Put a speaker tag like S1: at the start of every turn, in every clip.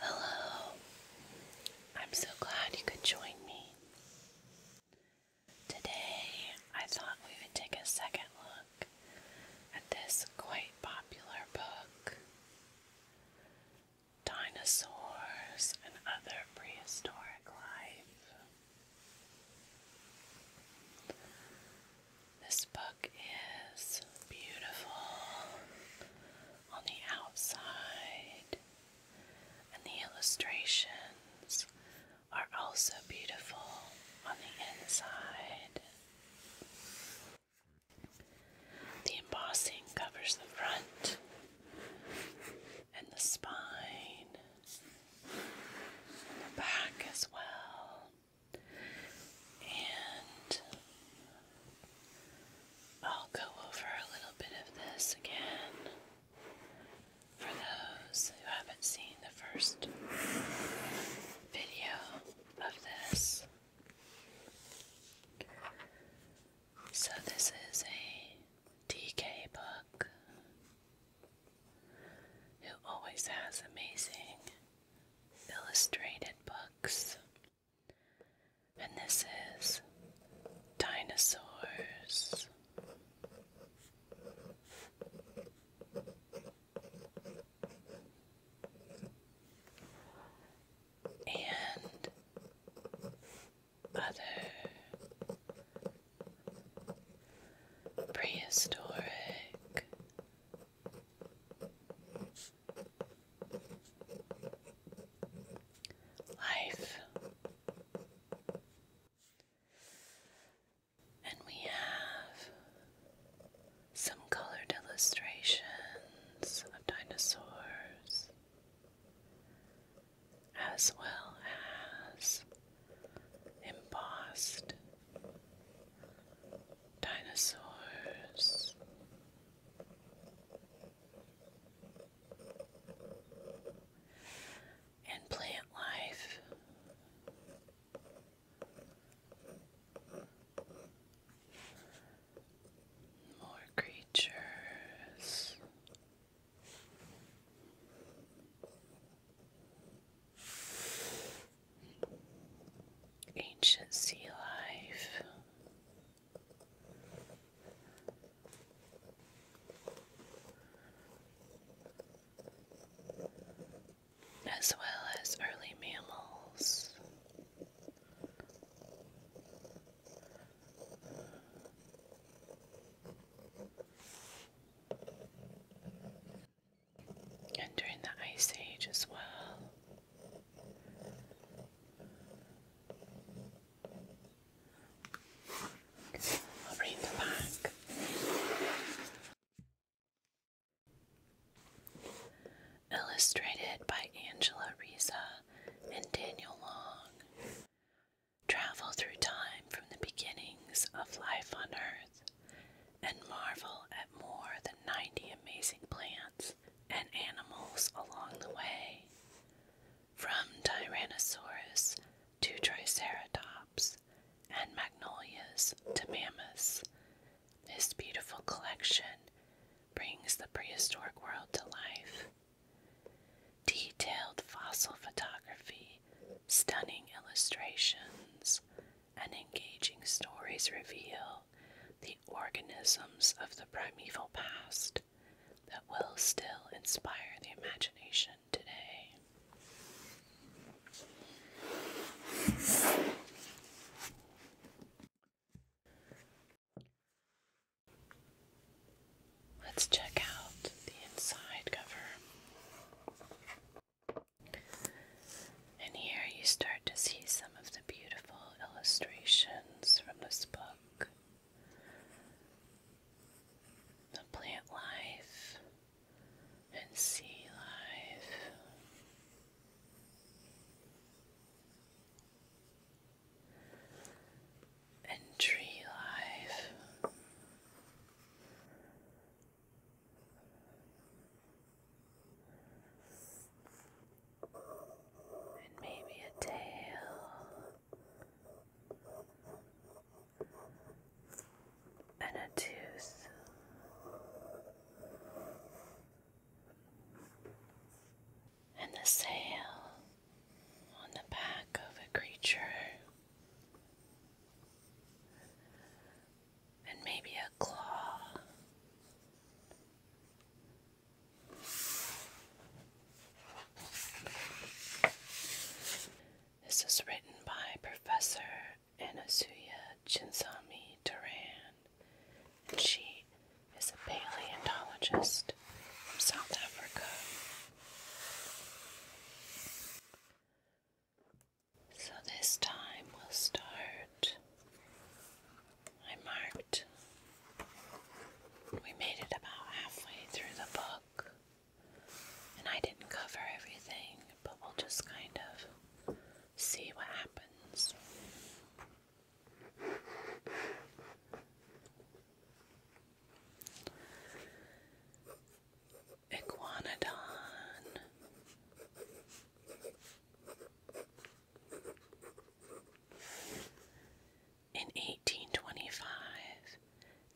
S1: Hello. I'm so glad you could join me. Today, I thought we would take a second look at this quite popular book Dinosaurs and Other Prehistoric Life. This book is beautiful on the outside, and the illustrations are also beautiful on the inside. The embossing covers the front and the spine the back as well. And I'll go over a little bit of this again for those who haven't seen the first video of this. So, this is a DK book who always has amazing illustrated books. And this is Dinosaurs. And other prehistoric Life. And we have some colored illustrations of dinosaurs, as well as embossed Dinosaurs. And plant life. More creatures. Ancient sea life. As well as early mammals and during the Ice Age as well. I'll read the back. Illustrated by Angela Reza and Daniel Long. Travel through time from the beginnings of life on Earth and marvel at more than 90 amazing plants and animals along the way. From Tyrannosaurus to Triceratops and magnolias to mammoths, this beautiful collection brings the prehistoric world to life. Detailed fossil photography, stunning illustrations, and engaging stories reveal the organisms of the primeval past that will still inspire the imagination today. Let's check out the inside cover. And here you start to see some of the beautiful illustrations from this book the plant life and sea life. And tree life and maybe a tail and a tooth. And the sail on the back of a creature and maybe a claw. This is written by Professor Anasuya Chinsami Duran. She is a paleontologist from South Africa. So this time we'll start. I marked, we made it about halfway through the book, and I didn't cover everything, but we'll just kind of see what happens. Iguanodon in 1825,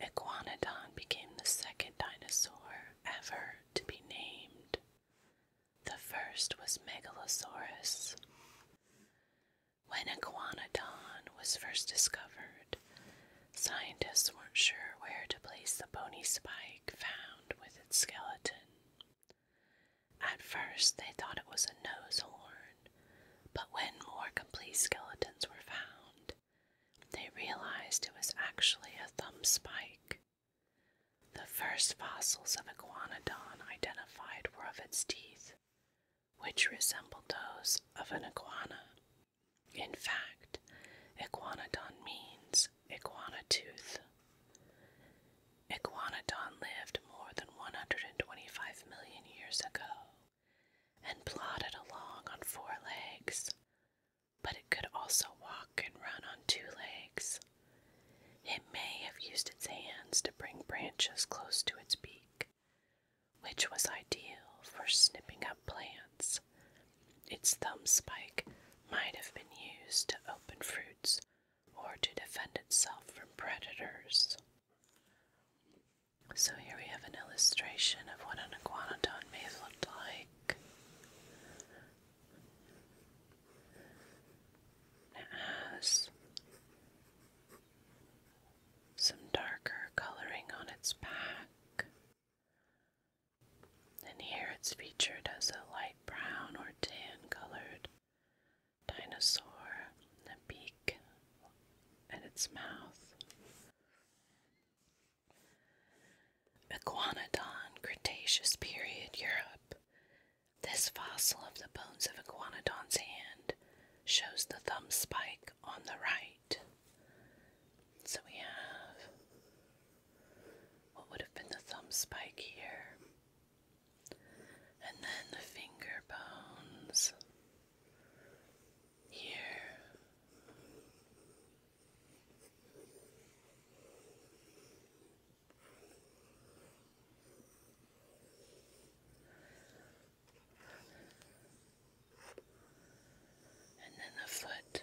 S1: Iguanodon became the second dinosaur ever to be named. The first was Megalosaurus. When Iguanodon was first discovered, scientists weren't sure where to place the bony spike found with its skeleton. At first, they thought it was a nose horn, but when more complete skeletons were found, they realized it was actually a thumb spike. The first fossils of Iguanodon identified were of its teeth, which resembled those of an iguana. In fact, Iguanodon means as Iguana Tooth. Iguanodon lived more than 125 million years ago and plodded along on four legs, but it could also walk and run on two legs. It may have used its hands to bring branches close to its beak, which was ideal for snipping up plants its thumb spike might have been used to open fruits or to defend itself from predators. So here we have an illustration of what an iguanodon may have looked like. It has some darker coloring on its back and here it's featured as a light brown or tan colored dinosaur, and a beak and its mouth. Iguanodon, Cretaceous period, Europe. This fossil of the bones of Iguanodon's hand shows the thumb spike on the right. So we have what would have been the thumb spike here, and then the finger bones here. And then the foot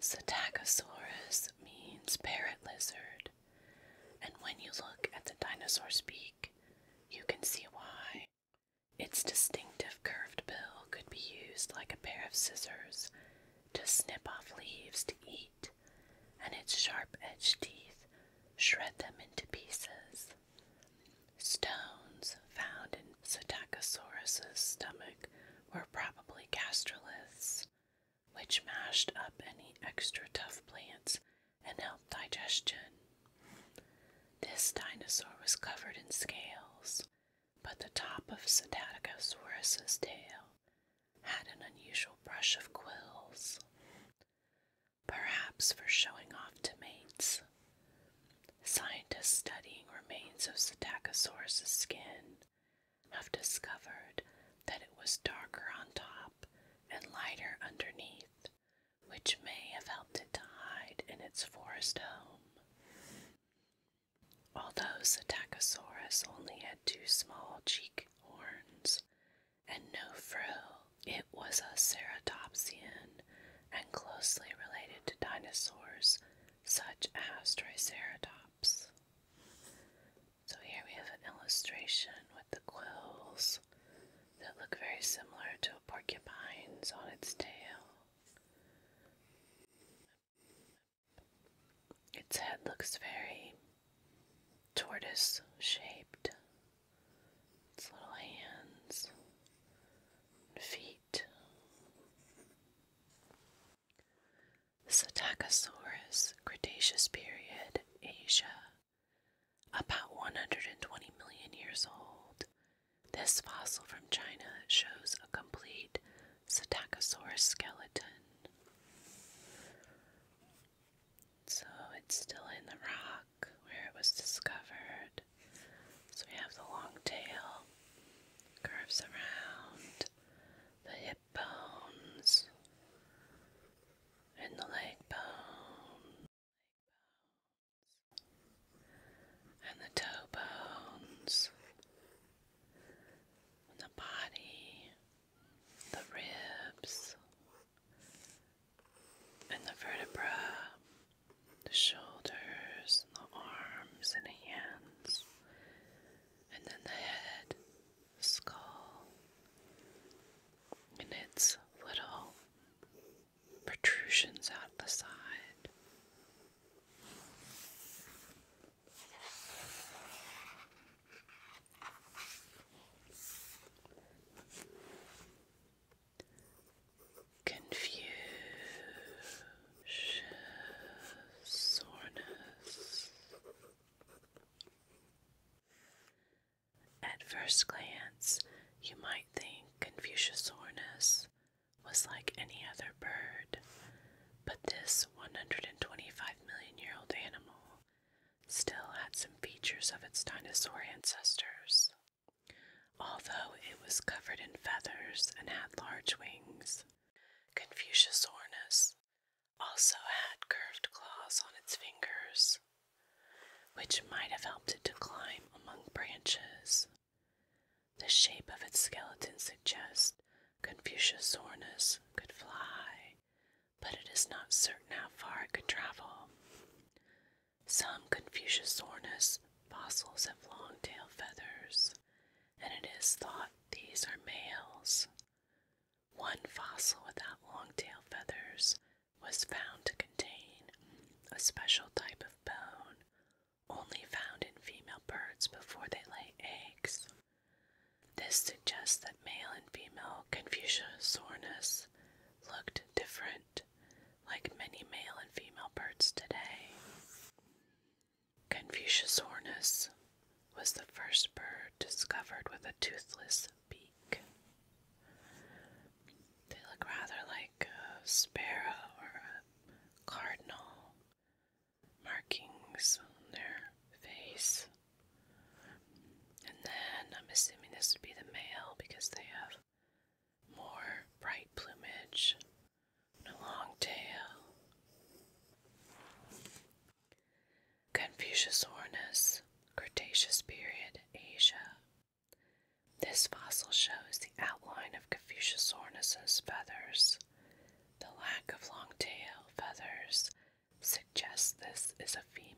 S1: Psittacosaurus means parrot lizard, and when you look at the dinosaur's beak, you can see why. Its distinctive curved bill could be used like a pair of scissors to snip off leaves to eat, and its sharp edged teeth shred them into pieces. Stones found in Psittacosaurus's stomach were probably gastroliths, which mashed up any extra tough plants and helped digestion. This dinosaur was covered in scales, but the top of Psittacosaurus's tail had an unusual brush of quills perhaps for showing off to mates. Scientists studying remains of Psittacosaurus' skin have discovered that it was darker on top and lighter underneath, which may have helped it to hide in its forest home. Although Psittacosaurus only had two small cheek horns, and no frill. It was a ceratopsian and closely related to dinosaurs such as Triceratops. So here we have an illustration with the quills that look very similar to a porcupine's on its tail. Its head looks very tortoise shaped its little hands feet. Psittacosaurus, Cretaceous period, Asia, about 120 million years old. This fossil from China shows a complete Psittacosaurus skeleton. So it's still in the rock where it was discovered. So we have the long tail, curves around, the hip bones, and the leg bones, and the toe bones, and the body, the ribs, and the vertebra, the shoulders, and the arms and the hands, and then the head, skull, and its little protrusions out the side confusion, soreness. At first glance, you might think Confuciusornis was like any other bird, but this 125 million year old animal still had some features of its dinosaur ancestors. Although it was covered in feathers and had large wings, Confucius ornus also had curved claws on its fingers, which might have helped it to climb among branches. The shape of its skeleton suggests Confucius ornus could fly, but it is not certain how far it could travel. Some Confuciusornis fossils have long tail feathers, and it is thought these are males. One fossil without long tail feathers was found to contain a special type of bone only found in female birds before they lay eggs. This suggests that male and female Confuciusornis looked different like many male and female birds today. Confucius hornus was the first bird discovered with a toothless beak. They look rather like a sparrow or a cardinal, markings on their face. And then I'm assuming this would be the male because they have more bright plumage and long tail. Confucius ornus, Cretaceous period, Asia. This fossil shows the outline of Confucius ornus's feathers. The lack of long tail feathers suggests this is a female.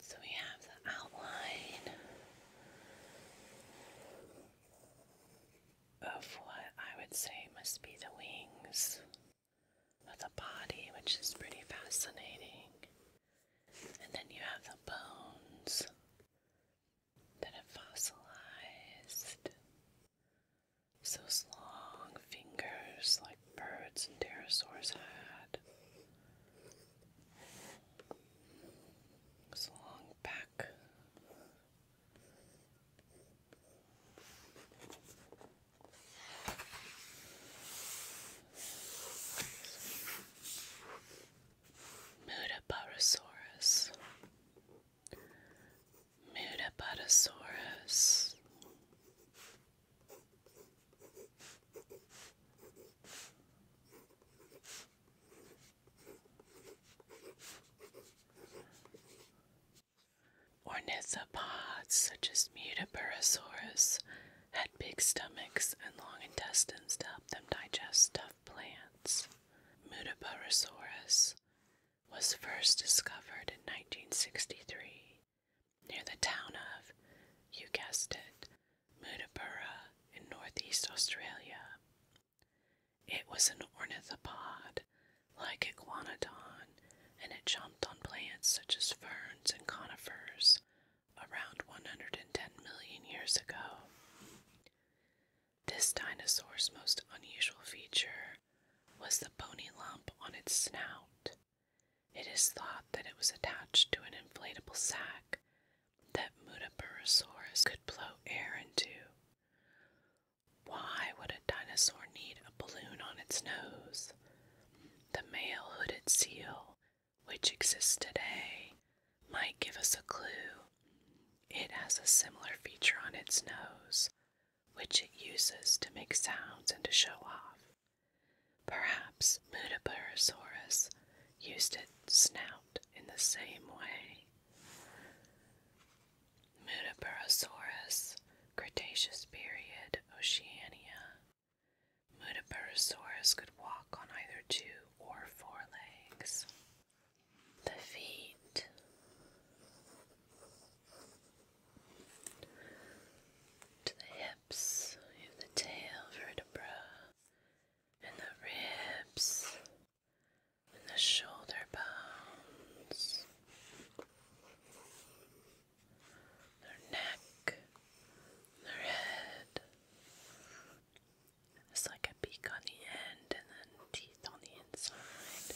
S1: So we have the outline of what I would say must be the wings of the body, which is pretty fascinating. And then you have the bones that have fossilized. those long fingers like birds and pterosaurs had long back. Mudaparasaurus. Mudaparasaurus. Ornithopods such as Mutaburosaurus had big stomachs and long intestines to help them digest tough plants. Mutaburosaurus was first discovered in 1963 near the town of, you guessed it, Mudabura in northeast Australia. It was an ornithopod, like Iguanodon, and it jumped on plants such as ferns and conifers around 110 million years ago. This dinosaur's most unusual feature was the bony lump on its snout. It is thought that it was attached to an inflatable sack that Mudapurosaurus could blow air into. Why would a dinosaur need a balloon on its nose? The male hooded seal, which exists today, might give us a clue. It has a similar feature on its nose, which it uses to make sounds and to show off. Perhaps Mudaparosaurus used its snout in the same way. Mudaparosaurus, Cretaceous period, Oceania. Mudaparosaurus could walk on either two or four legs. The feet. To the hips, we have the tail vertebra, and the ribs, and the shoulder bones, their neck, their head. It's like a beak on the end and then teeth on the inside.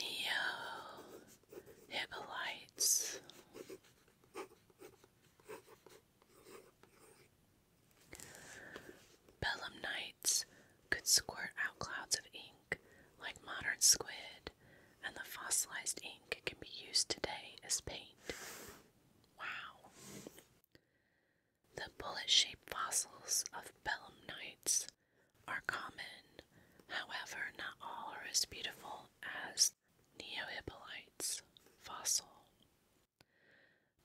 S1: Neo Hippolytes. could squirt out clouds of ink like modern squid, and the fossilized ink can be used today as paint. Wow. The bullet shaped fossils of belemnites are common, however, not all are as beautiful as neohypolite's fossil.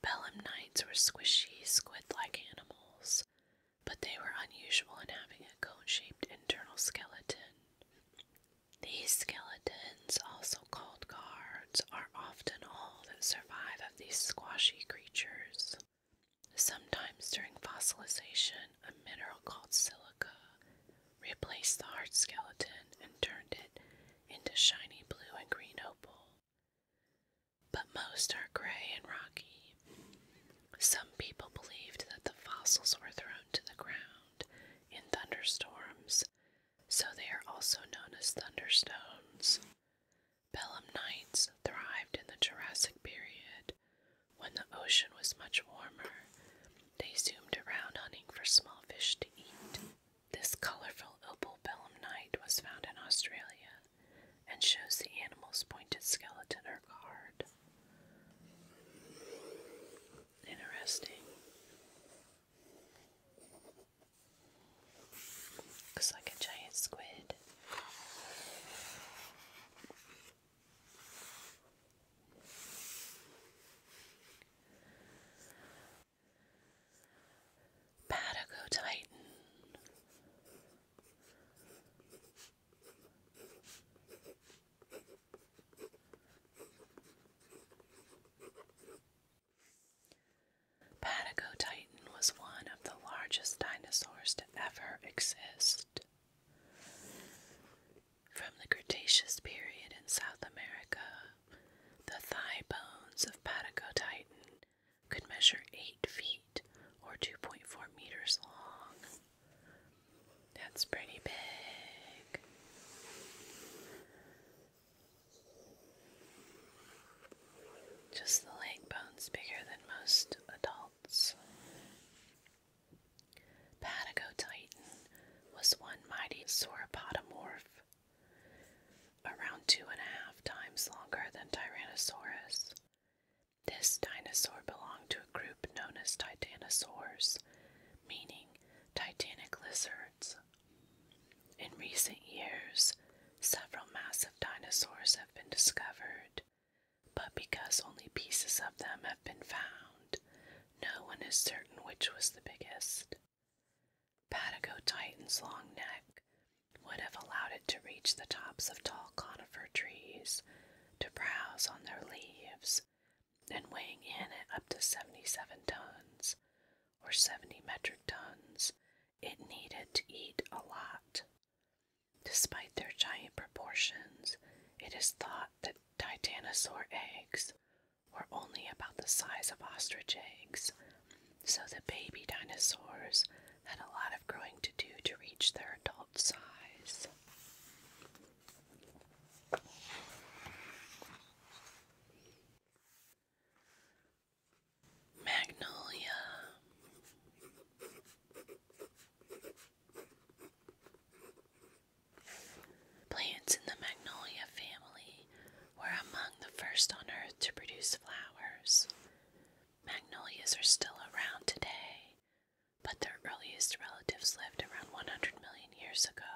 S1: Belemnites were squishy, squid like animals, but they were unusual in having a cone shaped internal skeleton. These skeletons, also called guards, are often all that survive of these squishy creatures. Sometimes during fossilization, a mineral called silica replaced the hard skeleton and turned it into shiny blue and green opal. But most are gray and rocky. Some people believed that the fossils were thrown to the ground in thunderstorms, so they are also known as thunderstones. Pelham Knights thrived in the Jurassic period. When the ocean was much warmer, they zoomed around hunting for small fish to eat. This colorful opal Pelham Knight was found in Australia and shows the animal's pointed skeleton or guard. Interesting. Looks like a giant squid. Patago Titan. Titan. Titan was one of the largest dinosaurs to ever exist. From the Cretaceous period in South America, the thigh bones of Patagotitan could measure 8 feet or 2.4 meters long. That's pretty big. Just the leg bone's bigger than most adult Patagotitan was one mighty sauropodomorph, around two and a half times longer than Tyrannosaurus. This dinosaur belonged to a group known as titanosaurs, meaning titanic lizards. In recent years, several massive dinosaurs have been discovered, but because only pieces of them have been found, no one is certain which was the biggest. Patagotitan's long neck would have allowed it to reach the tops of tall conifer trees, to browse on their leaves, and weighing in at up to 77 tons, or 70 metric tons, it needed to eat a lot. Despite their giant proportions, it is thought that titanosaur eggs were only about the size of ostrich eggs, so the baby dinosaurs had a lot of growing to do to reach their adult size. Magnolia. Plants in the magnolia family were among the first on earth to produce flowers. Magnolias are still around today, but their earliest relatives lived around 100 million years ago,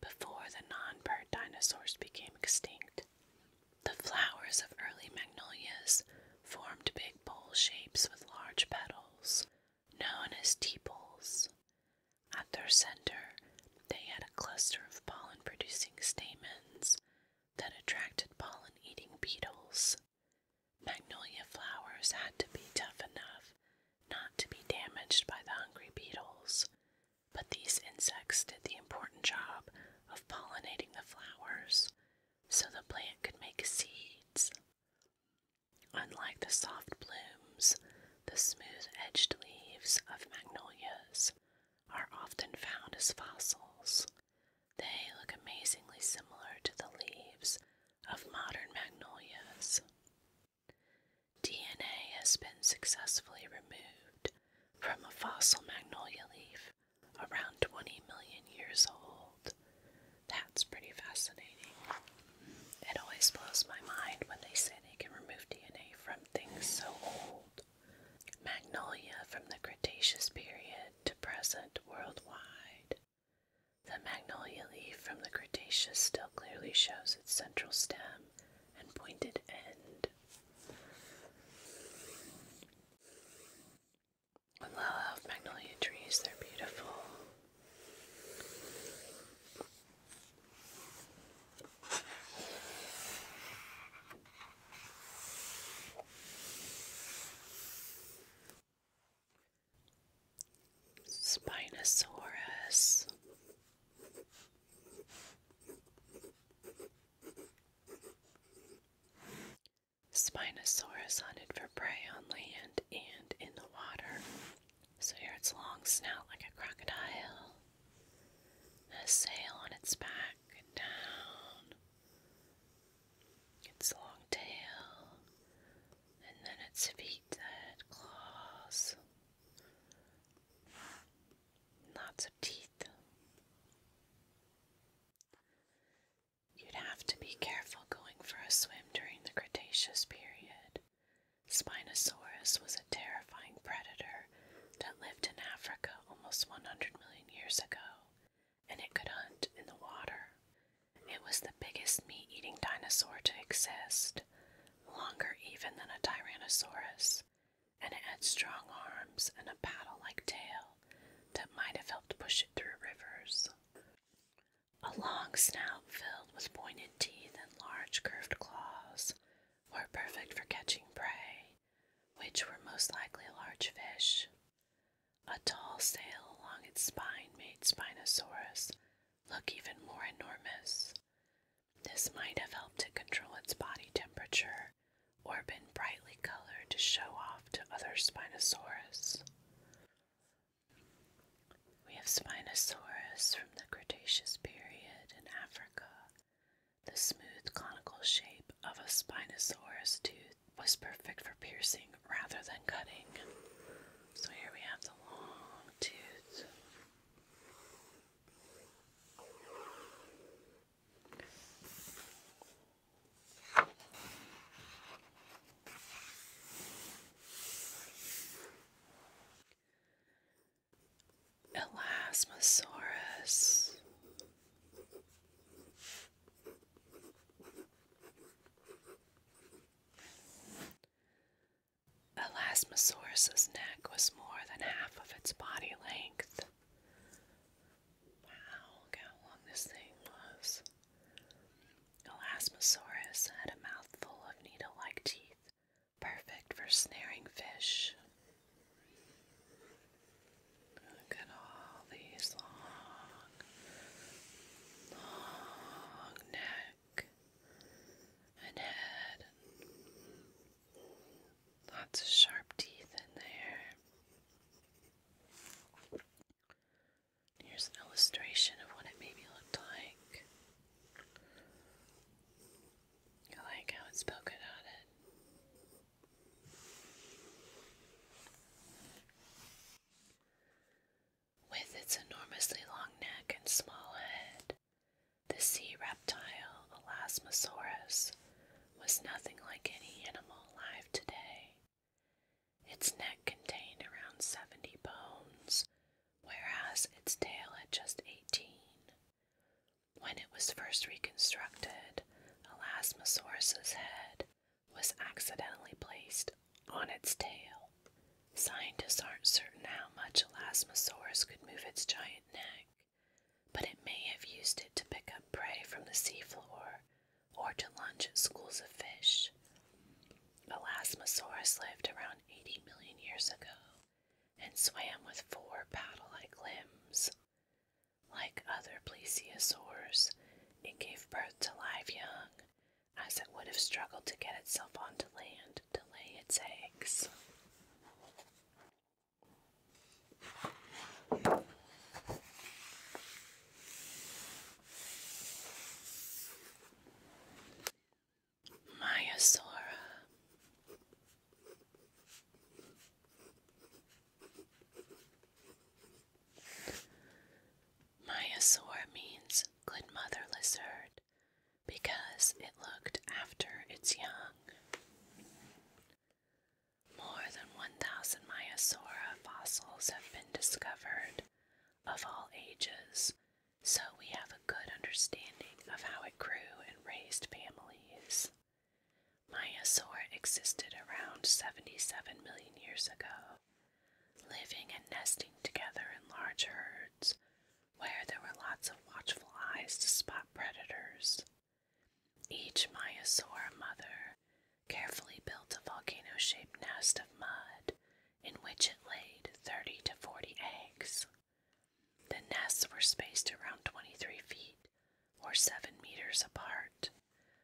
S1: before the non bird dinosaurs became extinct. The flowers of early magnolias formed big bowl shapes with large petals, known as tepals. At their center, they had a cluster of pollen producing stamens that attracted pollen eating beetles. Magnolia flowers had to be tough enough not to be damaged by the hungry beetles, but these insects did the important job of pollinating the flowers so the plant could make seeds. Unlike the soft blooms, the smooth edged leaves of magnolias are often found as fossils. They look amazingly similar to the leaves of modern magnolias. DNA has been successfully removed from a fossil magnolia leaf around 20 million years old. That's pretty fascinating. It always blows my mind when they say they can remove DNA from things so old. Magnolia from the Cretaceous period to present worldwide. The magnolia leaf from the Cretaceous still clearly shows its central stem and pointed end. I magnolia trees, they're beautiful. Spinosaurus. Spinosaurus hunted for prey on land and in the water. So here its long snout like a crocodile, a sail on its back down, its long tail,
S2: and then its feet that claws.
S1: Lots of teeth. You'd have to be careful going for a swim during the Cretaceous period. Spinosaurus was a terrifying predator that lived in Africa almost 100 million years ago, and it could hunt in the water. It was the biggest meat eating dinosaur to exist, longer even than a Tyrannosaurus, and it had strong arms and a paddle like tail that might have helped push it through rivers. A long snout filled with pointed teeth and large curved claws were perfect for catching prey, which were most likely large fish. A tall sail along its spine made Spinosaurus look even more enormous. This might have helped to control its body temperature or been bright colored to show off to other Spinosaurus. We have Spinosaurus from the Cretaceous period in Africa. The smooth conical shape of a Spinosaurus tooth was perfect for piercing rather than cutting. So here we have the long tooth. Elasmosaurus. Elasmosaurus's neck was more than half of its body length. Wow, how long this thing was. Elasmosaurus had a mouthful of needle like teeth, perfect for snaring fish. Look at all these long, long neck and head. Lots of sharp teeth in there. Here's an illustration of what it maybe looked like. I like how it's polka dotted. With its enormously long neck and small head, the sea reptile Elasmosaurus was nothing like any animal alive today. Its neck contained around 70 bones, whereas its tail had just 18. When it was first reconstructed, Elasmosaurus's head was accidentally placed on its tail. Scientists aren't certain how much Elasmosaurus could move its giant neck, but it may have used it to pick up prey from the seafloor or to lunge schools of fish. Elasmosaurus lived around 80 million years ago and swam with four paddle like limbs. Like other plesiosaurs, it gave birth to live young, as it would have struggled to get itself onto land to lay its eggs. Myasaura. Myasaur means good mother lizard because it looked after its young. More than 1,000 Myasaura fossils have been discovered of all ages, so we have a good understanding of how it grew and raised families. Myasaur existed around 77 million years ago, living and nesting together in large herds where there were lots of watchful eyes to spot predators. Each Myasaur mother carefully built a volcano shaped nest of mud in which it laid 30 to 40 eggs. The nests were spaced around 23 feet or 7 meters apart,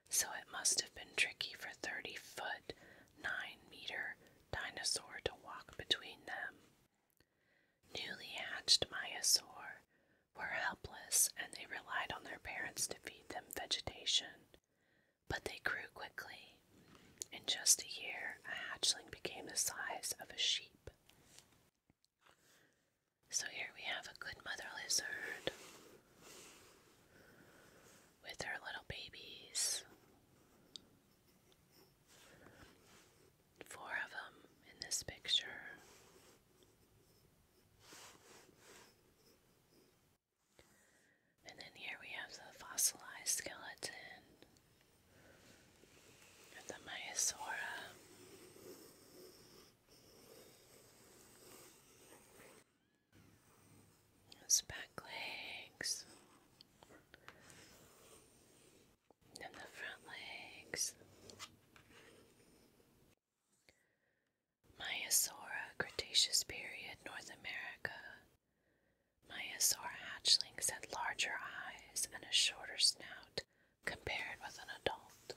S1: so it must have been tricky for 30 foot, 9 meter dinosaur to walk between them. Newly hatched myosaur were helpless and they relied on their parents to feed them vegetation but they grew quickly. In just a year, a hatchling became the size of a sheep. So here we have a good mother lizard with her little babies. Four of them in this picture. And then here we have the fossilized skeleton of the Myasaura. Its back legs. And the front legs. Myasaura Cretaceous period North America. Myasaur hatchlings had larger eyes and a shorter snout compared with an adult.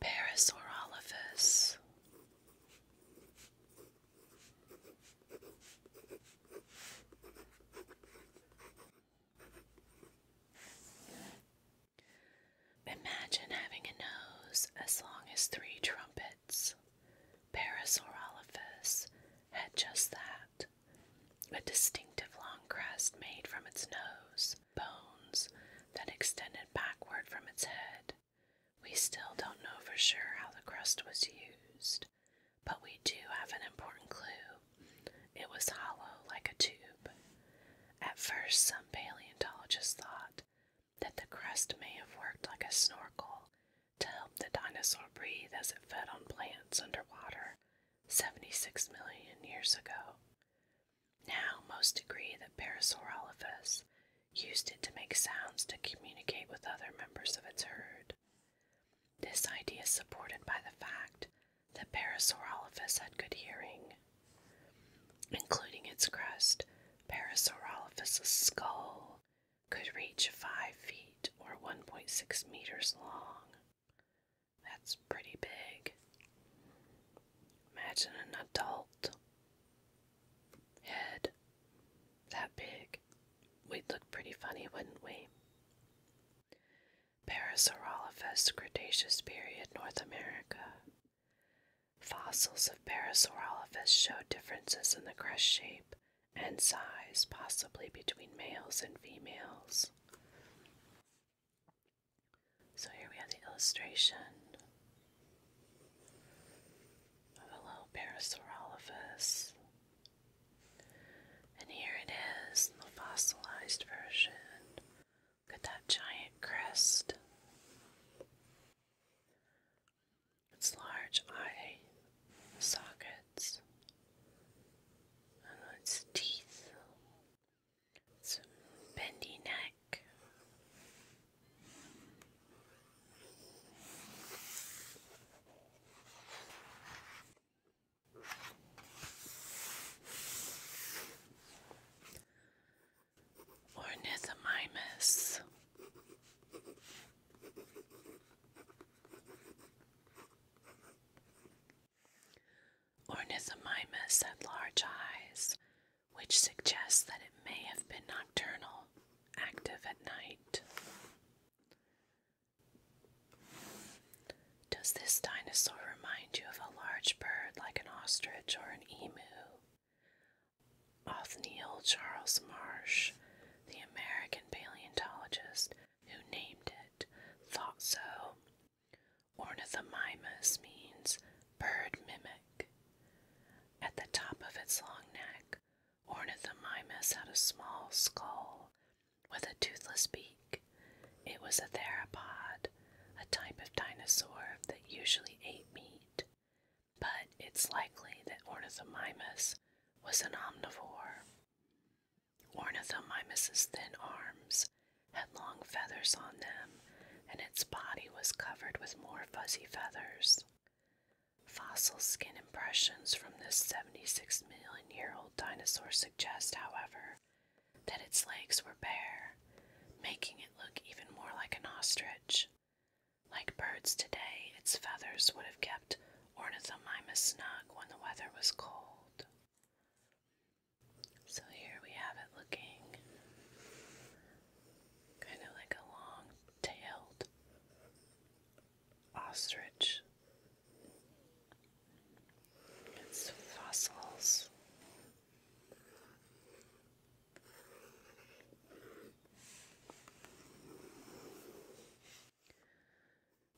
S1: Parasaurolophus. Imagine having a nose as long as three trumpets. Parasaurolophus had just that a distinctive long crest made from its nose, bones then extended backward from its head. We still don't know for sure how the crest was used but we do have an important clue. It was hollow like a tube. At first, some paleontologists thought that the crust may have worked like a snorkel to help the dinosaur breathe as it fed on plants underwater 76 million years ago. Now, most agree that Parasaurolophus used it to make sounds to communicate with other members of its herd. This idea is supported by the fact that Parasaurolophus had good hearing. Including its crest, Parasaurolophus' skull could reach 5 feet or 1.6 meters long. That's pretty big. Imagine an adult head that big. We'd look pretty funny, wouldn't we? Parasaurolophus, Cretaceous period, North America. Fossils of Parasaurolophus show differences in the crest shape and size, possibly between males and females. So here we have the illustration of a little Parasaurolophus and here it is, the fossilized version. Look at that giant crest. Its large eye sockets and its teeth, its bendy neck. Ornithomimus. Ornithomimus had large eyes, which suggests that it may have been nocturnal, active at night. Does this dinosaur remind you of a large bird like an ostrich or an emu? Othniel Charles Marsh, the American paleontologist who named it, thought so. Ornithomimus means bird mimic. At the top of its long neck, Ornithomimus had a small skull with a toothless beak. It was a theropod, a type of dinosaur that usually ate meat, but it's likely that Ornithomimus was an omnivore. Ornithomimus's thin arms had long feathers on them, and its body was covered with more fuzzy feathers. Fossil skin impressions from this 76 million year million-year-old old dinosaurs suggest, however, that its legs were bare, making it look even more like an ostrich. Like birds today, its feathers would have kept Ornithomimus snug when the weather was cold. So here we have it looking kind of like a long tailed ostrich, its fossils.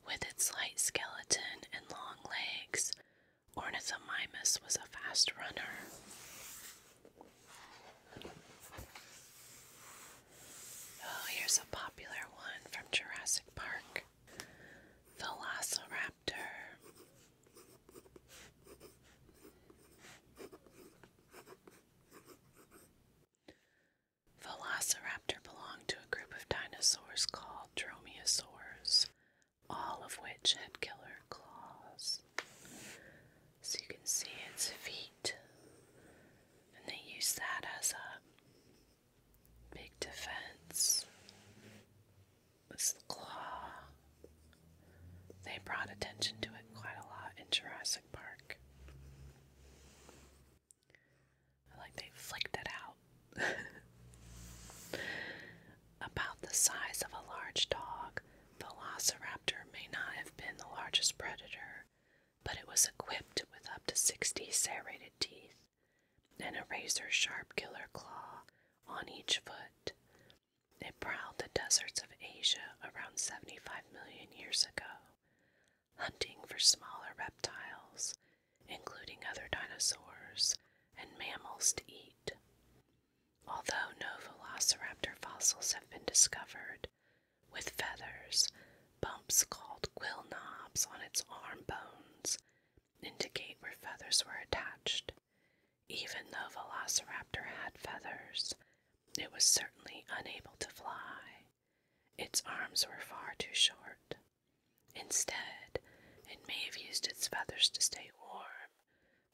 S1: With its light skeleton and long legs, Ornithomimus was a fast runner. Oh, here's a popular one from Jurassic Park. Velociraptor. Velociraptor belonged to a group of dinosaurs called dromaeosaurs, all of which had killer claws. So you can see its feet, and they use that as a Big defense was the claw. They brought attention to it quite a lot in Jurassic Park. like they flicked it out. About the size of a large dog, Velociraptor may not have been the largest predator, but it was equipped with up to 60 serrated teeth and a razor sharp killer claw on each foot. It prowled the deserts of Asia around 75 million years ago, hunting for smaller reptiles, including other dinosaurs and mammals to eat. Although no velociraptor fossils have been discovered, with feathers, Bumps called quill knobs on its arm bones indicate where feathers were attached. Even though Velociraptor had feathers, it was certainly unable to fly. Its arms were far too short. Instead, it may have used its feathers to stay warm,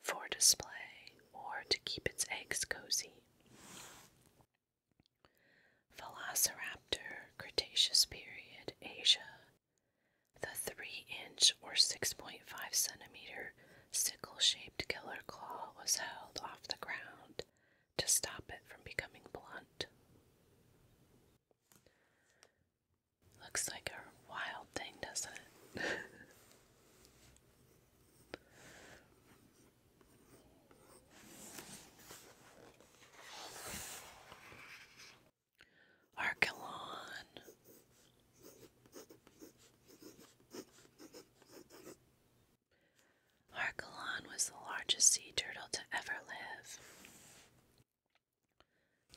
S1: for display, or to keep its eggs cozy. Velociraptor, Cretaceous period, Asia. The 3 inch or 6.5 centimeter sickle shaped killer claw was held off the ground to stop it from becoming blunt. Looks like a wild thing, doesn't it? Archelon. Archelon was the largest sea turtle to ever live.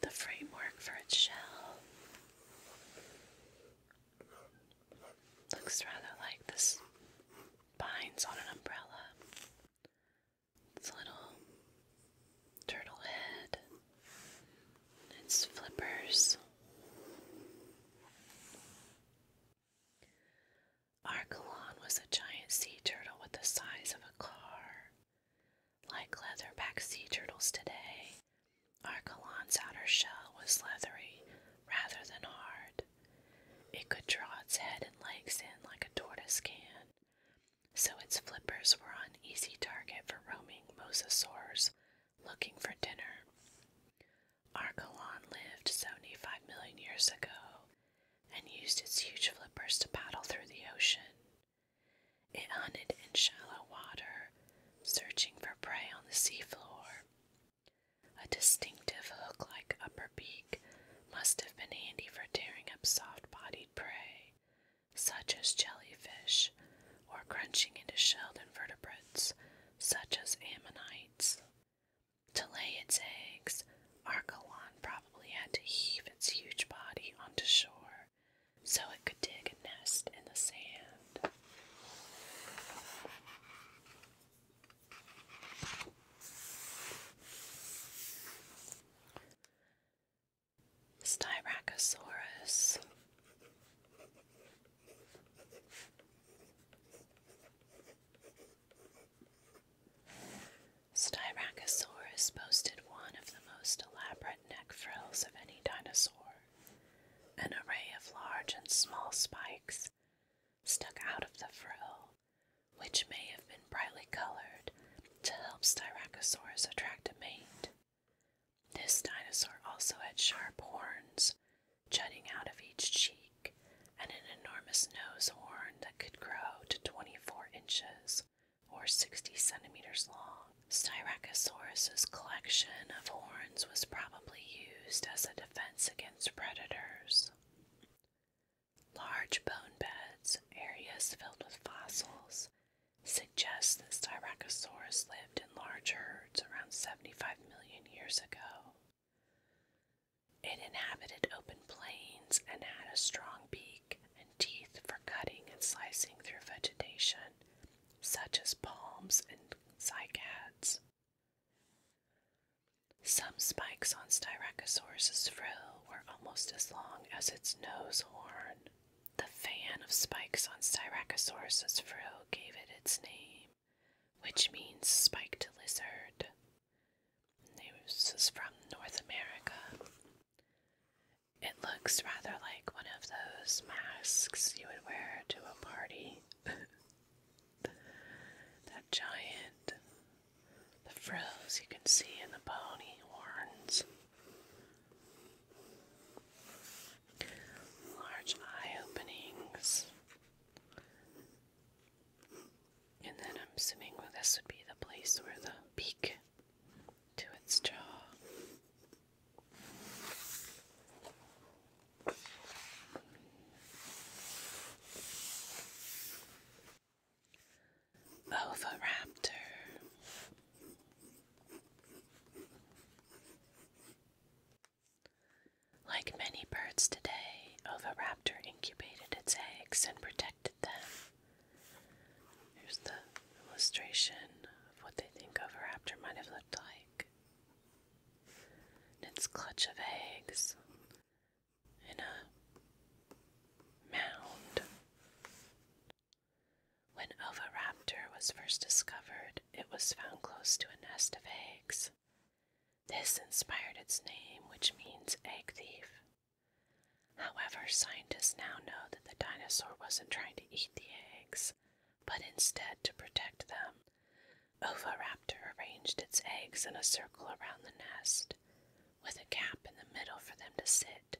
S1: The framework for its shell looks rather like the spines on an umbrella its little turtle head, its flippers. Archelon was a giant sea turtle with the size of a car. Like leatherback sea turtles today, Archelon's outer shell was leathery rather than hard. It could draw its head and legs in like a tortoise can, so its flippers were an easy target for roaming mosasaurs looking for dinner. Archelon lived 75 million years ago and used its huge flippers to paddle through the ocean. It hunted in shallow water, searching for prey on the seafloor. A distinctive hook like upper beak must have been handy for tearing up soft bodied prey, such as jellyfish, or crunching into shelled invertebrates, such as ammonites. To lay its eggs, Archelon probably had to heave its huge body onto shore so it could dig a nest in the sand. Styracosaurus. Styracosaurus boasted one of the most elaborate neck frills of any dinosaur. An array of large and small spikes stuck out of the frill, which may have been brightly colored to help Styracosaurus attract a mate. This dinosaur also had sharp horns jutting out of each cheek and an enormous nose horn that could grow to 24 inches or 60 centimeters long. Styracosaurus's collection of horns was probably used as a defense against predators. Large bone beds, areas filled with fossils, suggest that Styracosaurus lived in large herds around 75 million years ago. It inhabited open plains and had a strong beak and teeth for cutting and slicing through vegetation, such as palms and cycads. Some spikes on Styracosaurus's frill were almost as long as its nose horn. The fan of spikes on Styracosaurus's frill gave it its name, which means spiked lizard. This is from North America. It looks rather like one of those masks you would wear to a party. that giant the frills you can see in the pony horns. Large eye openings. And then I'm assuming well, this would be the place where the beak to its jaw. Oviraptor. Like many birds today, Oviraptor incubated its eggs and protected them. Here's the illustration of what they think Oviraptor might have looked like. its clutch of eggs, in a mound. When Oviraptor was first discovered, it was found close to a nest of eggs. This inspired its name, which means egg thief. However, scientists now know that the dinosaur wasn't trying to eat the eggs, but instead to protect them. Oviraptor arranged its eggs in a circle around the nest, with a cap in the middle for them to sit,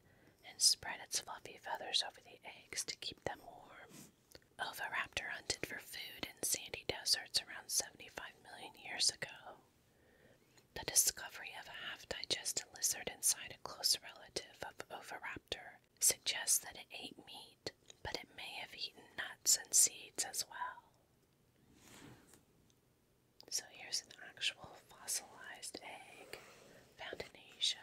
S1: and spread its fluffy feathers over the eggs to keep them warm. Oviraptor hunted for food in sandy deserts around 75 million years ago. The discovery of a half digested lizard inside a close relative of Oviraptor suggests that it ate meat, but it may have eaten nuts and seeds as well. So here's an actual fossilized egg found in Asia.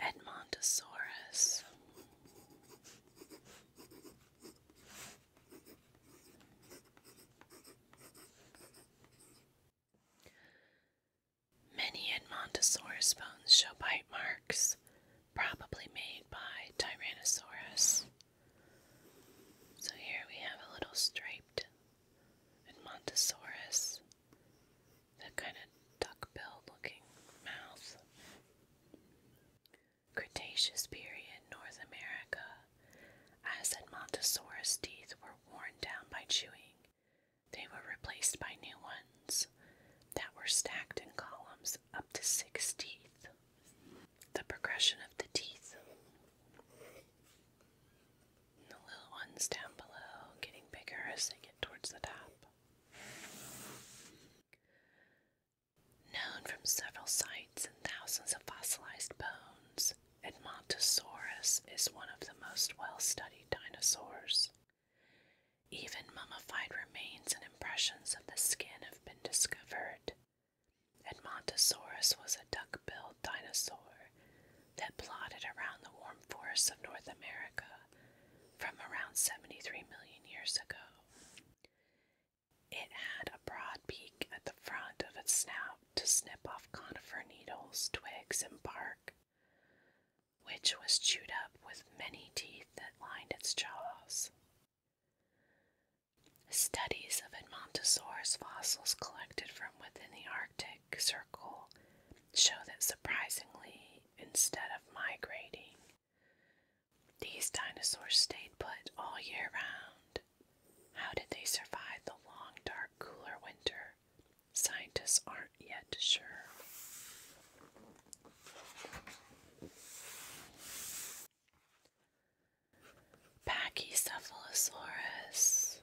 S1: Edmontosaurus. Many Edmontosaurus bones show bite marks, probably made by Tyrannosaurus. So here we have a little striped Edmontosaurus, that kind of duck looking mouth. Cretaceous period North America. As Edmontosaurus teeth were worn down by chewing, they were replaced by new ones that were stacked in columns up to six teeth. The progression of the teeth. the little ones down below getting bigger as they get towards the top. Known from several sites and thousands of fossilized bones, Edmontosaurus is one of the most well studied dinosaurs. Even mummified remains and impressions of the skin have been discovered. Edmontosaurus was a duck billed dinosaur that plodded around the warm forests of North America from around 73 million years ago. It had a broad beak at the front of its snout to snip off conifer needles, twigs, and bark which was chewed up with many teeth that lined its jaws. Studies of Edmontosaurus fossils collected from within the Arctic Circle show that surprisingly, instead of migrating, these dinosaurs stayed put all year round. How did they survive the long, dark, cooler winter Scientists aren't yet sure. Pachycephalosaurus.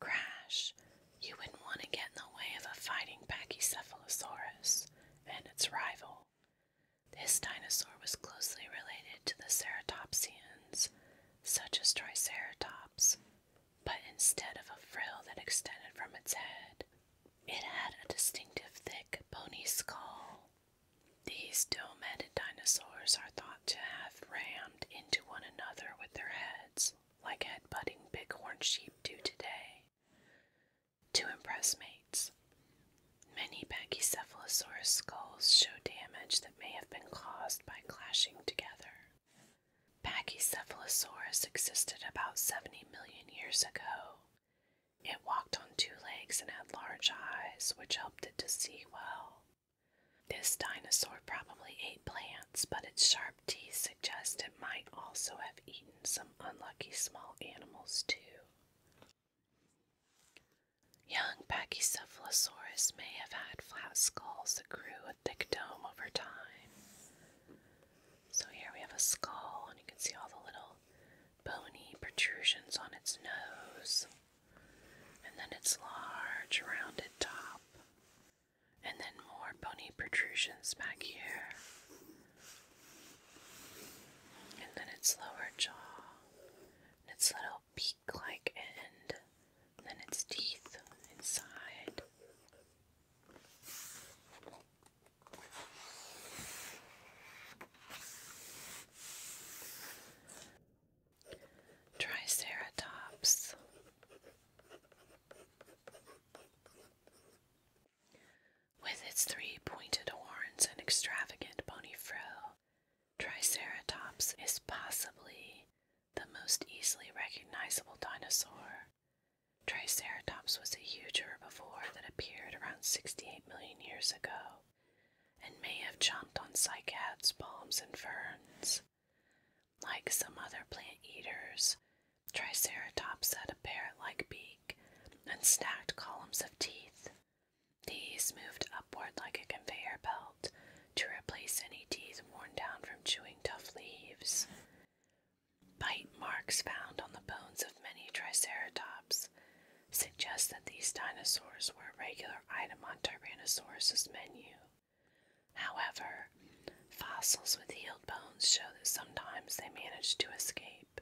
S1: Crash, you wouldn't want to get in the way of a fighting Pachycephalosaurus. And its rival. This dinosaur was closely related to the ceratopsians, such as Triceratops, but instead of a frill that extended from its head, it had a distinctive thick bony skull. These dome-headed dinosaurs are thought to have rammed into one another with their heads, like headbutting bighorn sheep do today to impress mates. Many Pachycephalosaurus skulls show damage that may have been caused by clashing together. Pachycephalosaurus existed about 70 million years ago. It walked on two legs and had large eyes, which helped it to see well. This dinosaur probably ate plants, but its sharp teeth suggest it might also have eaten some unlucky small animals, too. Young Pachycephalosaurus may have had flat skulls that grew a thick dome over time. So here we have a skull, and you can see all the little bony protrusions on its nose, and then its large rounded top, and then more bony protrusions back here and then its lower jaw, and its little beak like end, and then its teeth inside. Triceratops with its three pointed horns and extravagant bony frill. Triceratops is possibly the most easily recognizable dinosaur. Triceratops was a huge herbivore that appeared around 68 million years ago and may have chomped on cycads, palms, and ferns. Like some other plant eaters, Triceratops had a beak like beak and stacked columns of teeth. These moved upward like a conveyor belt to replace any teeth worn down from chewing tough leaves. Bite marks found on the bones of many Triceratops suggest that these dinosaurs were a regular item on Tyrannosaurus's menu. However, fossils with healed bones show that sometimes they managed to escape.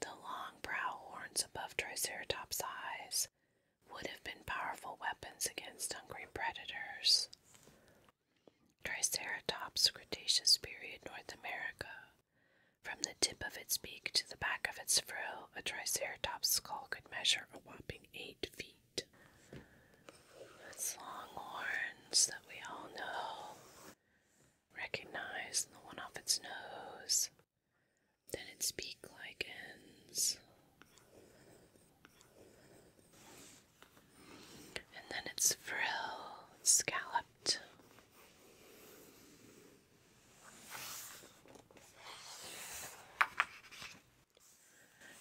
S1: The long brow horns above Triceratops' eyes would have been powerful weapons against hungry predators. Triceratops, Cretaceous period North America. From the tip of its beak to the back of its frill, a Triceratops skull could measure a whopping eight feet. Its long horns that we all know Recognize the one off its nose, then its beak like ends, and then its frill, it's scalloped.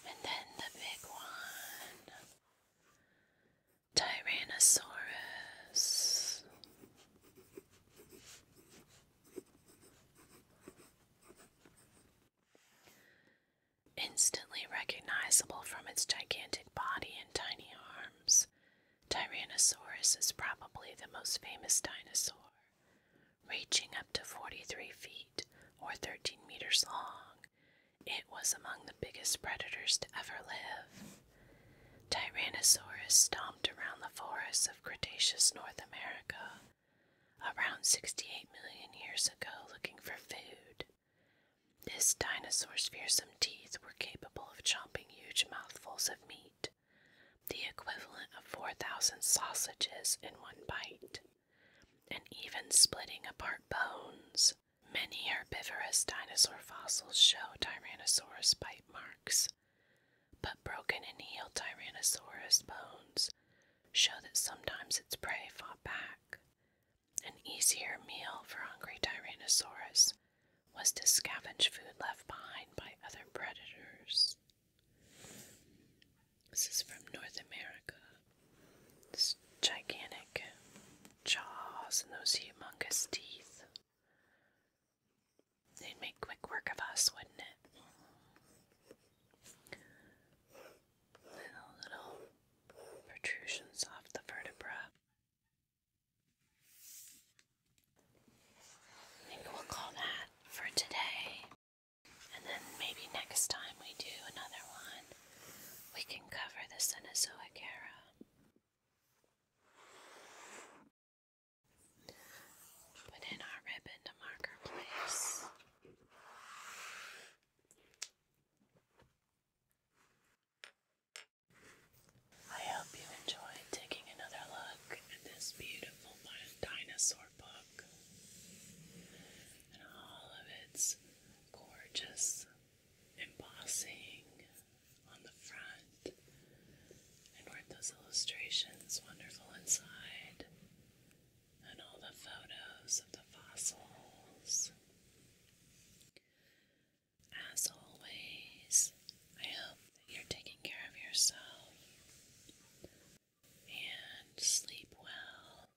S1: And then the big one. Tyrannosaurus. Instantly recognizable from its gigantic body and tiny arms, Tyrannosaurus is probably the most famous dinosaur, reaching up to 43 feet or 13 meters long it was among the biggest predators to ever live. Tyrannosaurus stomped around the forests of Cretaceous North America around 68 million years ago looking for food. This dinosaur's fearsome teeth were capable of chomping huge mouthfuls of meat, the equivalent of 4,000 sausages in one bite, and even splitting apart bones. Many herbivorous dinosaur fossils show Tyrannosaurus bite marks, but broken and healed Tyrannosaurus bones show that sometimes its prey fought back. An easier meal for hungry Tyrannosaurus was to scavenge food left behind by other predators. This is from North America. It's gigantic jaws and those humongous teeth. They'd make quick work of us, wouldn't it? little protrusions off the vertebra. I we'll call that for today. And then maybe next time we do another one, we can cover the Cenozoic era. Put in our ribbon to mark our place. I hope you enjoyed taking another look at this beautiful dinosaur book and all of its gorgeous embossing on the front and weren't those illustrations wonderful inside and all the photos of the fossils as always i hope that you're taking care of yourself and sleep well